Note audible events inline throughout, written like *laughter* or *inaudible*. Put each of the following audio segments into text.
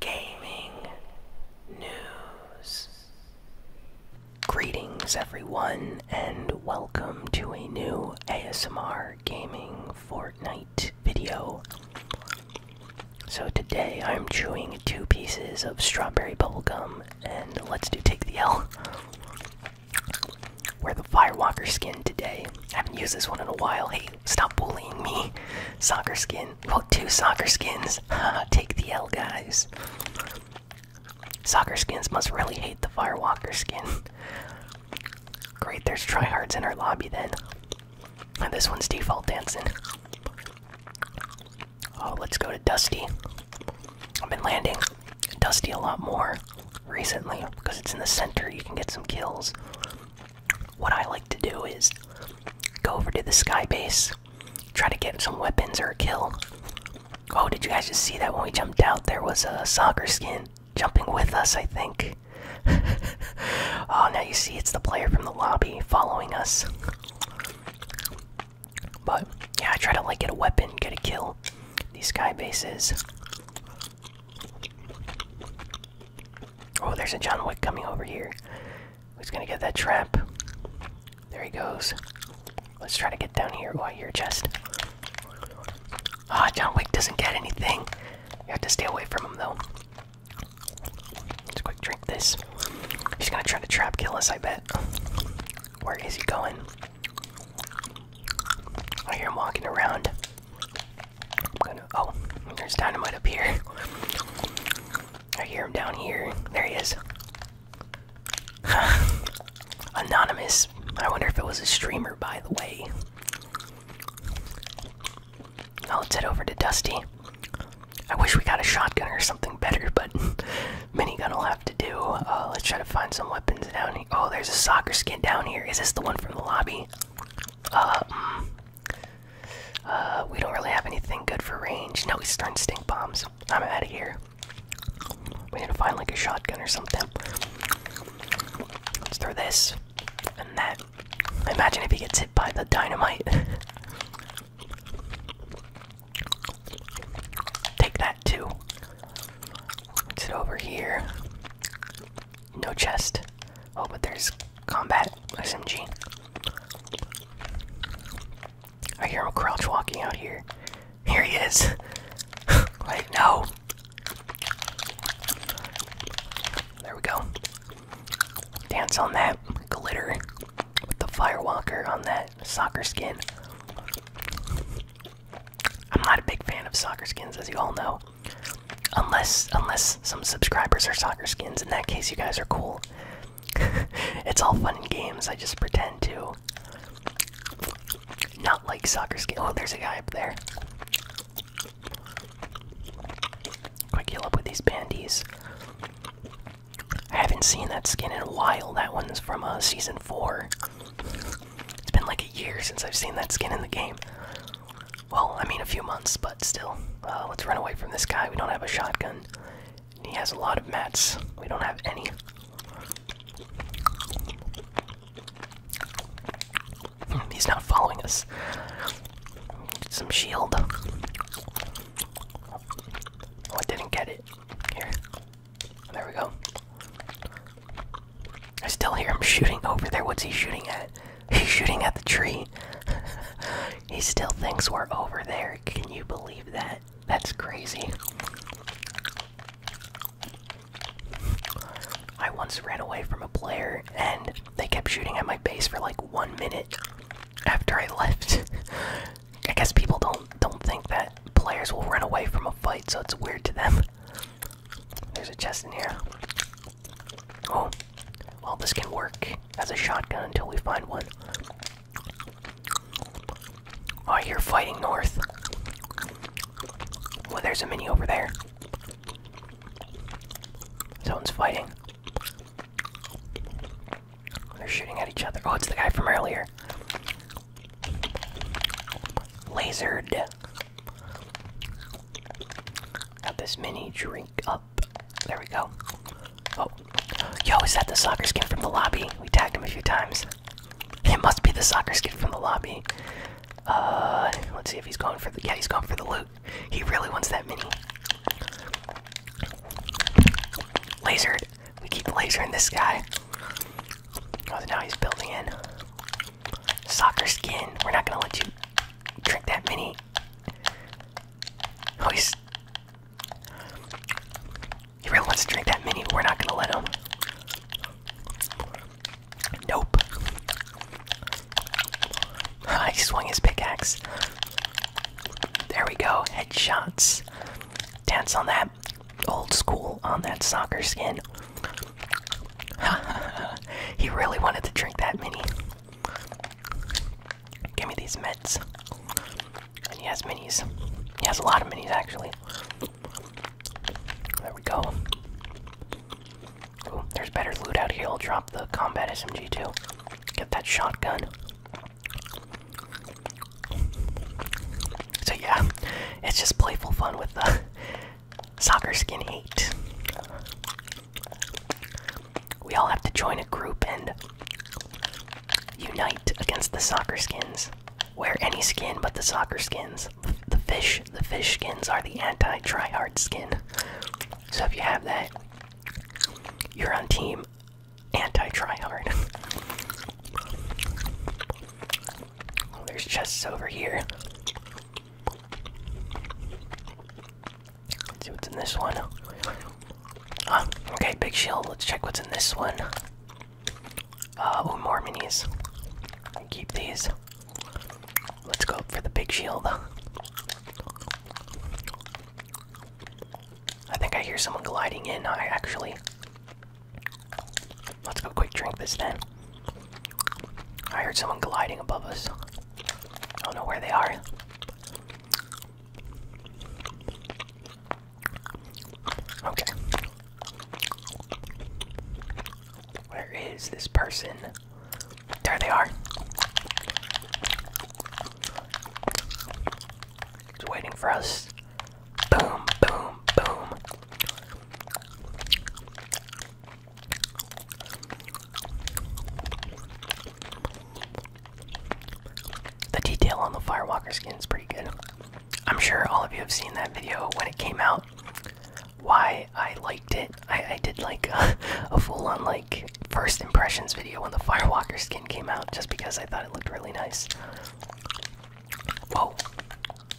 gaming news. Greetings, everyone, and welcome to a new ASMR Gaming Fortnite video. So, today I'm chewing two pieces of strawberry bubble gum, and let's do Take the L. Wear the Firewalker skin today. I haven't used this one in a while. Hey, stop bullying me. *laughs* Soccer skin. Well, two soccer skins. *laughs* Take the L, guys. Soccer skins must really hate the Firewalker skin. *laughs* Great, there's tryhards in our lobby then. this one's default dancing. Oh, let's go to Dusty. I've been landing Dusty a lot more recently because it's in the center. You can get some kills what I like to do is go over to the sky base, try to get some weapons or a kill. Oh, did you guys just see that when we jumped out? There was a soccer skin jumping with us, I think. *laughs* oh, now you see it's the player from the lobby following us. But yeah, I try to like get a weapon, get a kill. These sky bases. Oh, there's a John Wick coming over here. He's gonna get that trap. There he goes. Let's try to get down here. while you're just chest. Ah, oh, John Wick doesn't get anything. You have to stay away from him, though. Let's quick drink this. He's gonna try to trap kill us, I bet. Where is he going? I hear him walking around. Oh, there's dynamite up here. I hear him down here. There he is. *sighs* Anonymous. I wonder if it was a streamer, by the way. Now let's head over to Dusty. I wish we got a shotgun or something better, but mini *laughs* minigun will have to do. Uh, let's try to find some weapons down here. Oh, there's a soccer skin down here. Is this the one from the lobby? Uh, mm. Uh, we don't really have anything good for range. Now he's starting stink bombs. I'm out of here. We need to find like a shotgun or something. Let's throw this and that. Imagine if he gets hit by the dynamite. *laughs* Take that too. let it over here. No chest. Oh, but there's combat SMG. I hear him crouch walking out here. Here he is. Right *laughs* now. There we go. Dance on that glitter with the firewalker on that soccer skin. I'm not a big fan of soccer skins, as you all know. Unless, unless some subscribers are soccer skins. In that case, you guys are cool. *laughs* it's all fun and games. I just pretend to not like soccer skin. Oh, there's a guy up there. Quick heal up with these bandies. I haven't seen that skin in a while. That one's from uh, season four. It's been like a year since I've seen that skin in the game. Well, I mean a few months, but still. Uh, let's run away from this guy. We don't have a shotgun. He has a lot of mats. We don't have any. He's not following us. some shield. Oh, I didn't get it. Here. There we go. I still hear him shooting over there. What's he shooting at? *laughs* He's shooting at the tree. *laughs* he still thinks we're over there. Can you believe that? That's crazy. I once ran away from a player and they kept shooting at my base for like one minute after I left. *laughs* I guess people don't don't think that players will run away from a fight, so it's weird to them. There's a chest in here. Oh, well, this can work as a shotgun until we find one. Oh, I hear fighting north. Well, there's a mini over there. Someone's fighting. They're shooting at each other. Oh, it's the guy from earlier. Lasered. Got this mini drink. up. There we go. Oh, yo, is that the soccer skin from the lobby? We tagged him a few times. It must be the soccer skin from the lobby. Uh, let's see if he's going for the. Yeah, he's going for the loot. He really wants that mini. Lasered. We keep lasering this guy. Oh, now he's building in. Soccer skin. We're not gonna let you drink that mini. Oh, he's. He really wants to drink that mini. We're not gonna let him. Nope. Ah, *laughs* he swung his pickaxe. There we go. Headshots. Dance on that. Old school on that soccer skin. *laughs* he really wanted to drink that mini. Give me these meds. And he has minis. He has a lot of minis actually. There we go. Ooh, there's better loot out here. I'll drop the combat SMG 2 Get that shotgun. So yeah, it's just playful fun with the *laughs* soccer skin 8. We all have to join a group and unite against the soccer skins. Wear any skin but the soccer skins. The fish, the fish skins are the anti-tryhard skin. So if you have that, you're on team anti-tryhard. oh, there's chests over here. Let's see what's in this one. Um, okay, big shield. Let's check what's in this one. Uh, more minis. Keep these. Let's go up for the big shield. I think I hear someone gliding in. I actually. Let's go quick drink this then. I heard someone gliding above us. I don't know where they are. Okay. Where is this person? There they are. Just waiting for us. Boom, boom, boom. The detail on the Firewalker skin is pretty good. I'm sure all of you have seen that video when it came out. Why I liked it. I, did like a, *laughs* a full on like first impressions video when the Firewalker skin came out just because I thought it looked really nice. Whoa.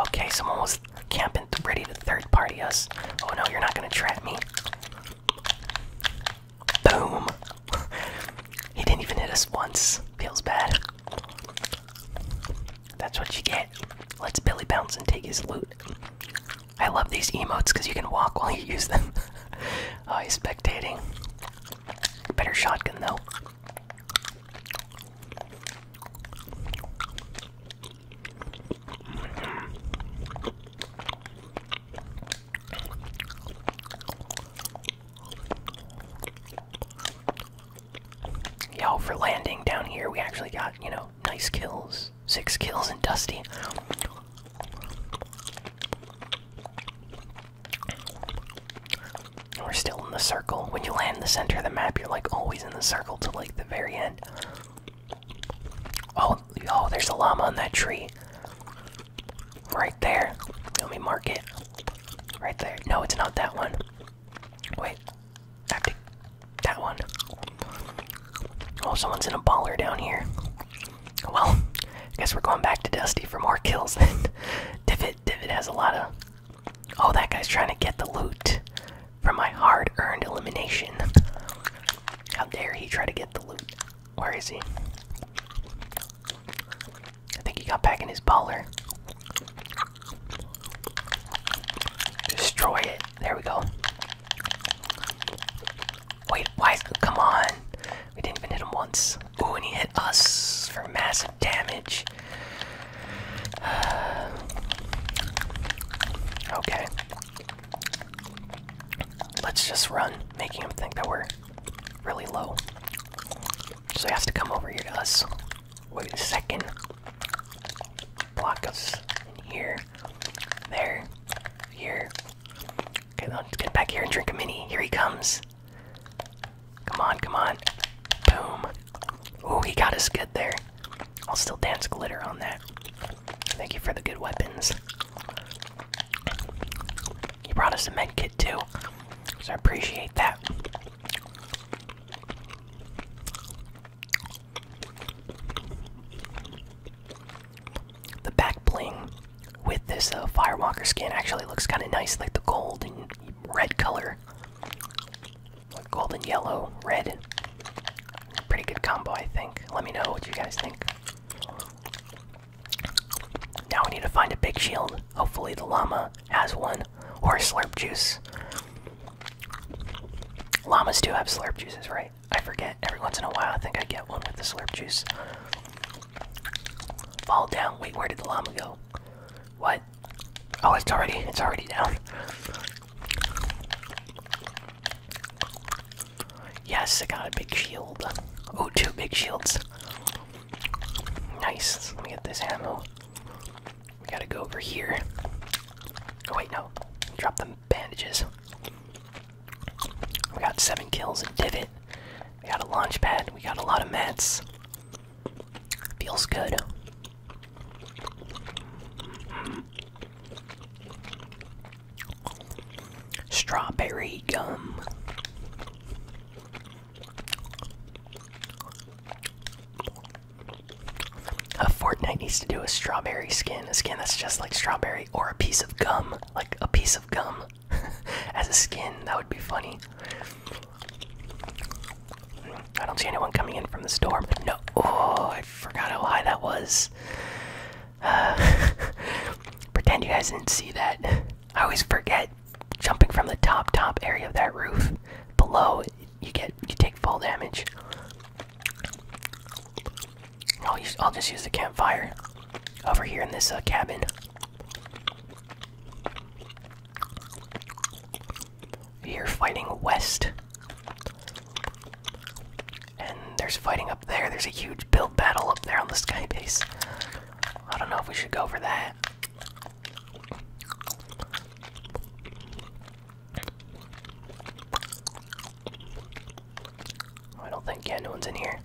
Okay, someone was camping ready to third party us. Oh no, you're not gonna trap me. Boom. *laughs* he didn't even hit us once. Feels bad. That's what you get. Let's Billy bounce and take his loot. I love these emotes because you can walk while you use them. *laughs* oh, he's spectating. Better shotgun though. Yo, for landing down here, we actually got, you know, nice kills. Six kills and Dusty. We're still in the circle. When you land in the center of the map, you're like always in the circle till like the very end. Oh, oh, there's a llama on that tree. Right there. Let me mark it. Right there. No, it's not that one. Wait. I That one. Oh, someone's in a baller down here. Well, guess we're going back to Dusty for more kills then. *laughs* Divot, Divot has a lot of. Oh, that guy's trying to get the loot from my hard earned elimination. How dare he try to get the loot? Where is he? I think he got back in his baller. Destroy it. There we go. Wait, why? Come on. We didn't even hit him once. Ooh, and he hit us for massive damage. *sighs* okay. Let's just run, making him think that we're really low. So he has to come over here to us. Wait a second. Block us in here. There. Here. Okay, now let's get back here and drink a mini. Here he comes. Come on, come on. Boom. Oh, he got us good there. I'll still dance glitter on that. Thank you for the good weapons. You brought us a med kit too, so I appreciate that. The back bling with this uh, Firewalker skin actually looks kind of nice, like the gold and red color. golden yellow, red. Pretty good combo, I think. Let me know what you guys think. Now we need to find a big shield. Hopefully, the llama has one. Or slurp juice. Llamas do have slurp juices, right? I forget. Every once in a while, I think I get one with the slurp juice. Fall down. Wait, where did the llama go? What? Oh, it's already it's already down. Yes, I got a big shield. Oh, two big shields. Nice. Let me get this ammo. We gotta go over here. Oh, wait, no. Drop them bandages. We got seven kills and divot. We got a launch pad. We got a lot of mats. Feels good strawberry gum. A Fortnite needs to do a strawberry skin, a skin that's just like strawberry, or a piece of gum, like a piece of gum *laughs* as a skin. That would be funny. I don't see anyone coming in from the storm. No. Oh, I forgot how high that was. *sighs* pretend you guys didn't see that. I always forget jumping from the top top area of that roof. Below, you get you take fall damage. I'll I'll just use the campfire over here in this uh, cabin. cabin. are fighting west. And there's fighting up there. There's a huge build battle up there on the skybase. I don't know if we should go for that. Oh, I don't think yeah, no one's in here.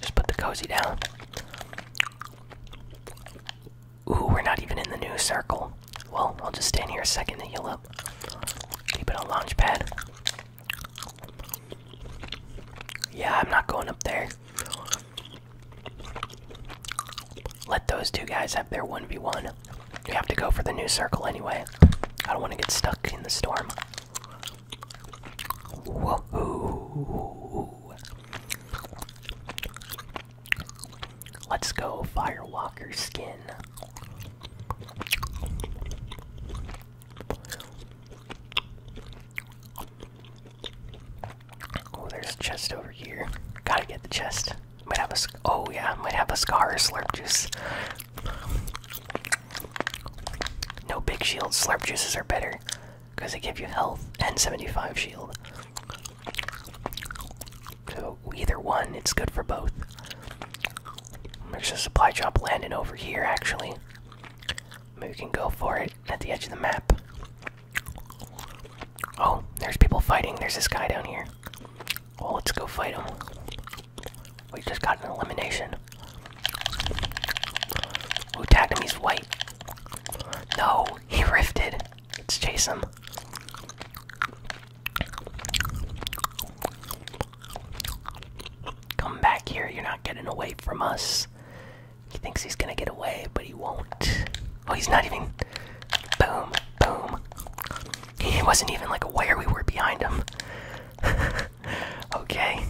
Just put the cozy down. Ooh, we're not even in the new circle. Well, I'll just stand here a second and heal up. Keep it on launch pad. Yeah, I'm not going up there. Let those two guys have their 1v1. You have to go for the new circle anyway. I don't want to get stuck in the storm. Whoa. Let's go, Firewalker skin. Oh, there's a chest over here. Gotta get the chest. Might have a. Oh yeah, might have a scar slurp juice. No big shield. Slurp juices are better because they give you health and 75 shield. So either one, it's good for both. Make sure the supply drop landed over here, actually. Maybe we can go for it at the edge of the map. Oh, there's people fighting. There's this guy down here. Well, oh, let's go fight him. We just got an elimination. Who tagged him? He's white. No, he rifted. Let's chase him. Come back here, you're not getting away from us. He thinks he's gonna get away, but he won't. Oh, he's not even. Boom, boom. He wasn't even like aware we were behind him. *laughs* okay.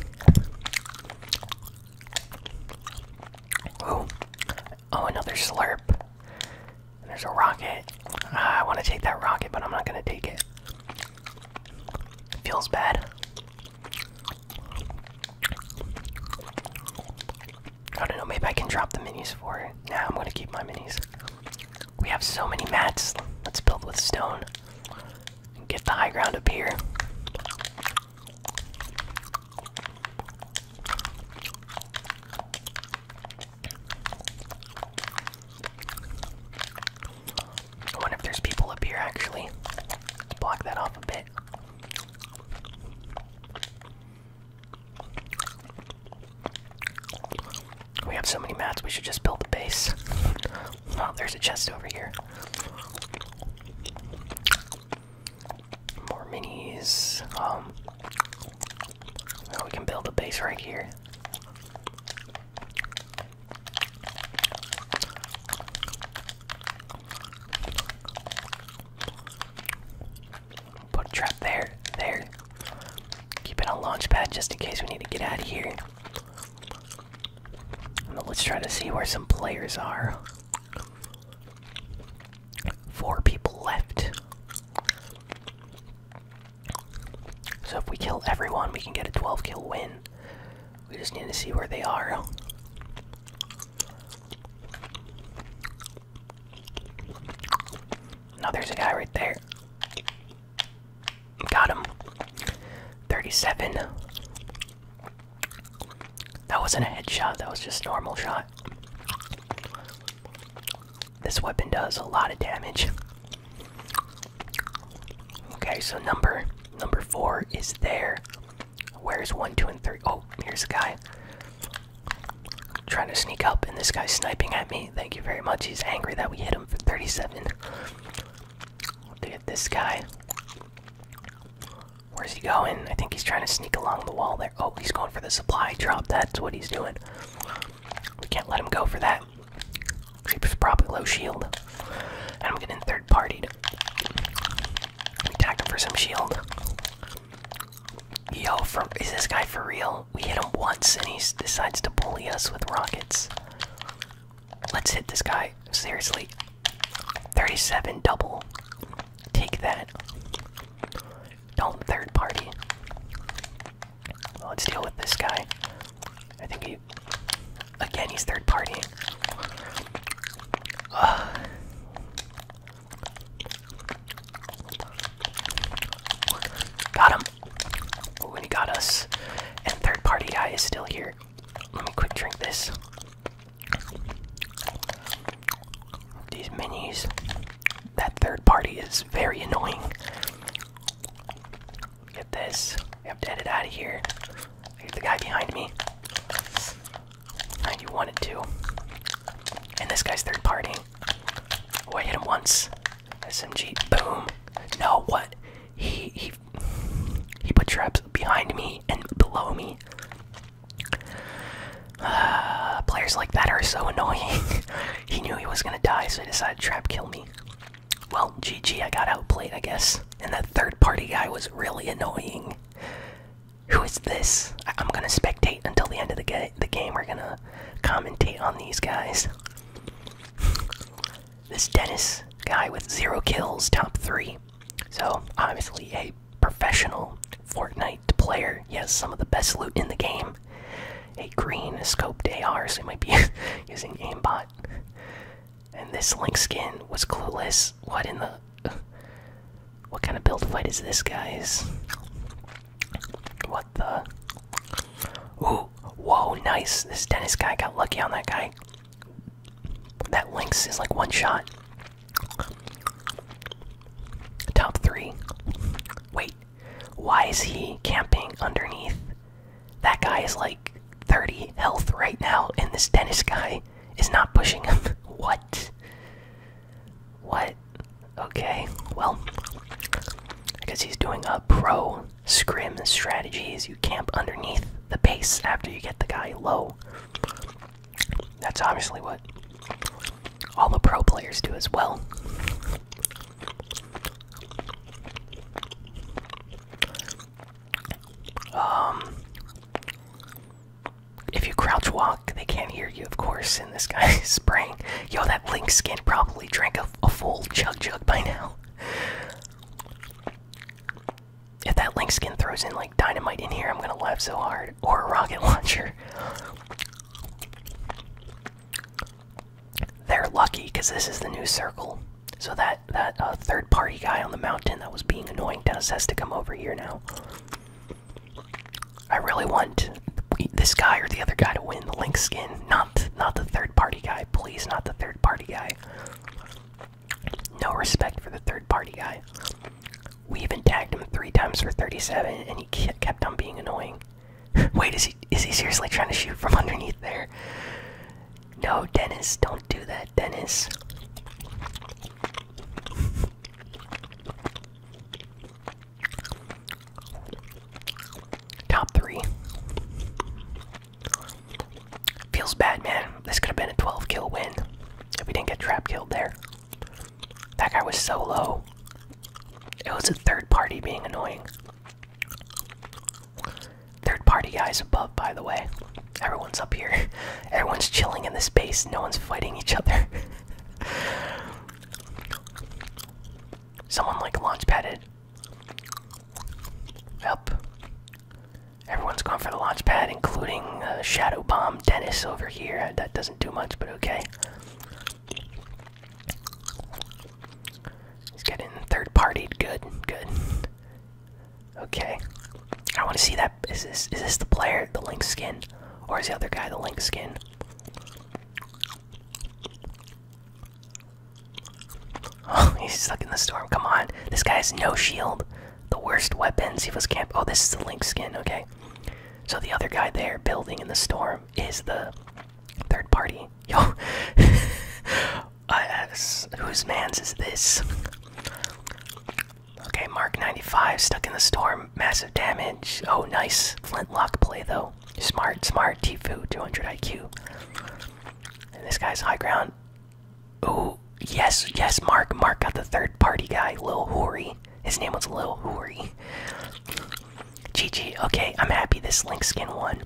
Oh. Oh, another slurp. There's a rocket. Ah, I want to take that rocket, but I'm not going to take it. Feels bad. I don't know, maybe I can drop the minis for it. Nah, I'm going to keep my minis. We have so many mats. Let's build with stone. get the high ground up here. I wonder if there's people up here actually. block that off a bit. We have so many mats, we should just build a base. oh, there's a chest over here. More minis. Um, we can build a base right here. Put a trap there, there. Keep it on launch pad just in case we need to get out of here. let's try to see where some players are. Four people left. So if we kill everyone, we can get a 12 kill win. We just need to see where they are. Now there's a guy right there. Got him. 37. That wasn't a headshot, that was just normal shot. This weapon does a lot of damage. Okay, so number number four is there. Where's one, two, and three? Oh, here's the guy. trying to sneak up, and this guy's sniping at me. Thank you very much. He's angry that we hit him for 37. Look at this guy. Where's he going? I think he's trying to sneak along the wall there. Oh, he's going for the supply drop. That's what he's doing. We can't let him go for that. He's probably low shield. And I'm getting third partied. Attack him for some shield. Yo, from is this guy for real? We hit him once and he decides to bully us with rockets. Let's hit this guy. Seriously. 37 double. Take that. Don't third party let's deal with this guy. I think he. Again, he's third party. Got him. Ooh, he got us. And third party guy is still here. Let me quick drink this. These minis that third party is very annoying. Get this. We have to head out of here. Here's the guy behind me. you wanted to. And this guy's third party. Oh, I hit him once. SMG. Boom. No, what? He he he put traps behind me and below me. *sighs* players like that are so *laughs* annoying. He knew he was gonna die, so he decided to trap kill me. Well, GG, I got outplayed, I guess. And that third party guy was really annoying. Who is this? I am gonna spectate until the end of the, ga the game. We're gonna commentate on these guys. This Dennis guy with zero kills, top three. So, obviously, a professional Fortnite player. He has some of the best loot in the game a green scoped AR, so he might be *laughs* using gamebot. And this lynx skin was clueless. What in the. What kind of build fight is this, guys? What the. Ooh, whoa, nice. This tennis guy got lucky on that guy. That Lynx is like one shot. Top three. Wait, why is he camping underneath? That guy is like 30 health right now, and this Dennis guy is not pushing him. *laughs* what? What? Okay, well, I guess he's doing a pro scrim strategy is you camp underneath the base after you get the guy low. That's obviously what all the pro players do as well. Um, if you crouch walk, they can't hear you, of course. And this guy's is *laughs* spraying. Yo, that Link skin probably drank a, full chug jug by now. If that Link skin throws in like dynamite in here, I'm gonna laugh so hard. Or a rocket launcher they're lucky because this is the new circle. So that that uh, third party guy on the mountain that was being annoying to us has to come over here now. I really want this guy or the other guy to win the link skin, not not the third party guy. Please, not the third party guy. No respect for the third party guy. We even tagged him three times for 37, and he kept on being annoying. Wait, is he is he seriously trying to shoot from underneath there? No, Dennis, don't do that, Dennis. Top three. Feels bad, man. This could have been a 12 kill win if we didn't get trap killed there. That guy was so low. It was a third party being annoying. Third party guys above, by the way. Everyone's up here. *laughs* Everyone's chilling in the space. No one's fighting each other. *laughs* Someone like launch padded. Everyone's going for the launch pad, including uh, Shadow Bomb Dennis over here. That doesn't do much, but okay. He's getting third partied. Good, good. Okay. I want to see that. Is this is this the player, the link skin, or is the other guy the link skin? *laughs* Oh, he's stuck in the storm. Come on, this guy has no shield. The worst weapons. He was camp. Oh, this is the link skin. Okay. So the other guy there, building in the storm, is the Third party. *laughs* Yo. Uh, whose man's is this? Okay, Mark 95, stuck in the storm, massive damage. Oh, nice. Flintlock play, though. Smart, smart. Tfue, 200 IQ. And this guy's high ground. Oh, yes, yes, Mark. Mark got the third party guy, Lil Hori. His name was Lil Hori. GG. Okay, I'm happy this Link skin won.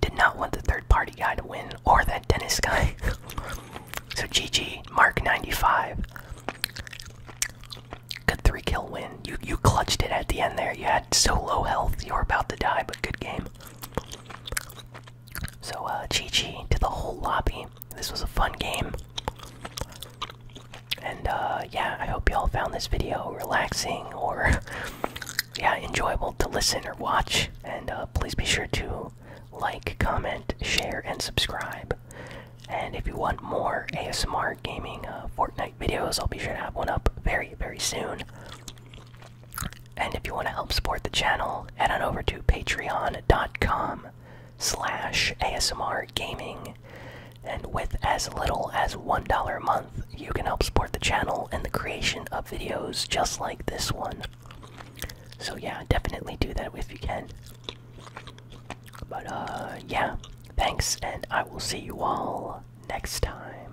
Did not want the third party guy to win or that Dennis guy. *laughs* so GG, Mark 95. Good three kill win. You you clutched it at the end there. You had so low health, you were about to die, but good game. So uh GG to the whole lobby. This was a fun game. And uh, yeah, I hope you all found this video relaxing or *laughs* yeah, enjoyable to listen or watch. And uh, please be sure to like, comment, share, and subscribe. And if you want more ASMR gaming uh, Fortnite videos, I'll be sure to have one up very, very soon. And if you want to help support the channel, head on over to patreon.com slash ASMR gaming and with as little as $1 a month, you can help support the channel and the creation of videos just like this one. So, yeah, definitely do that if you can. But, uh, yeah, thanks, and I will see you all next time.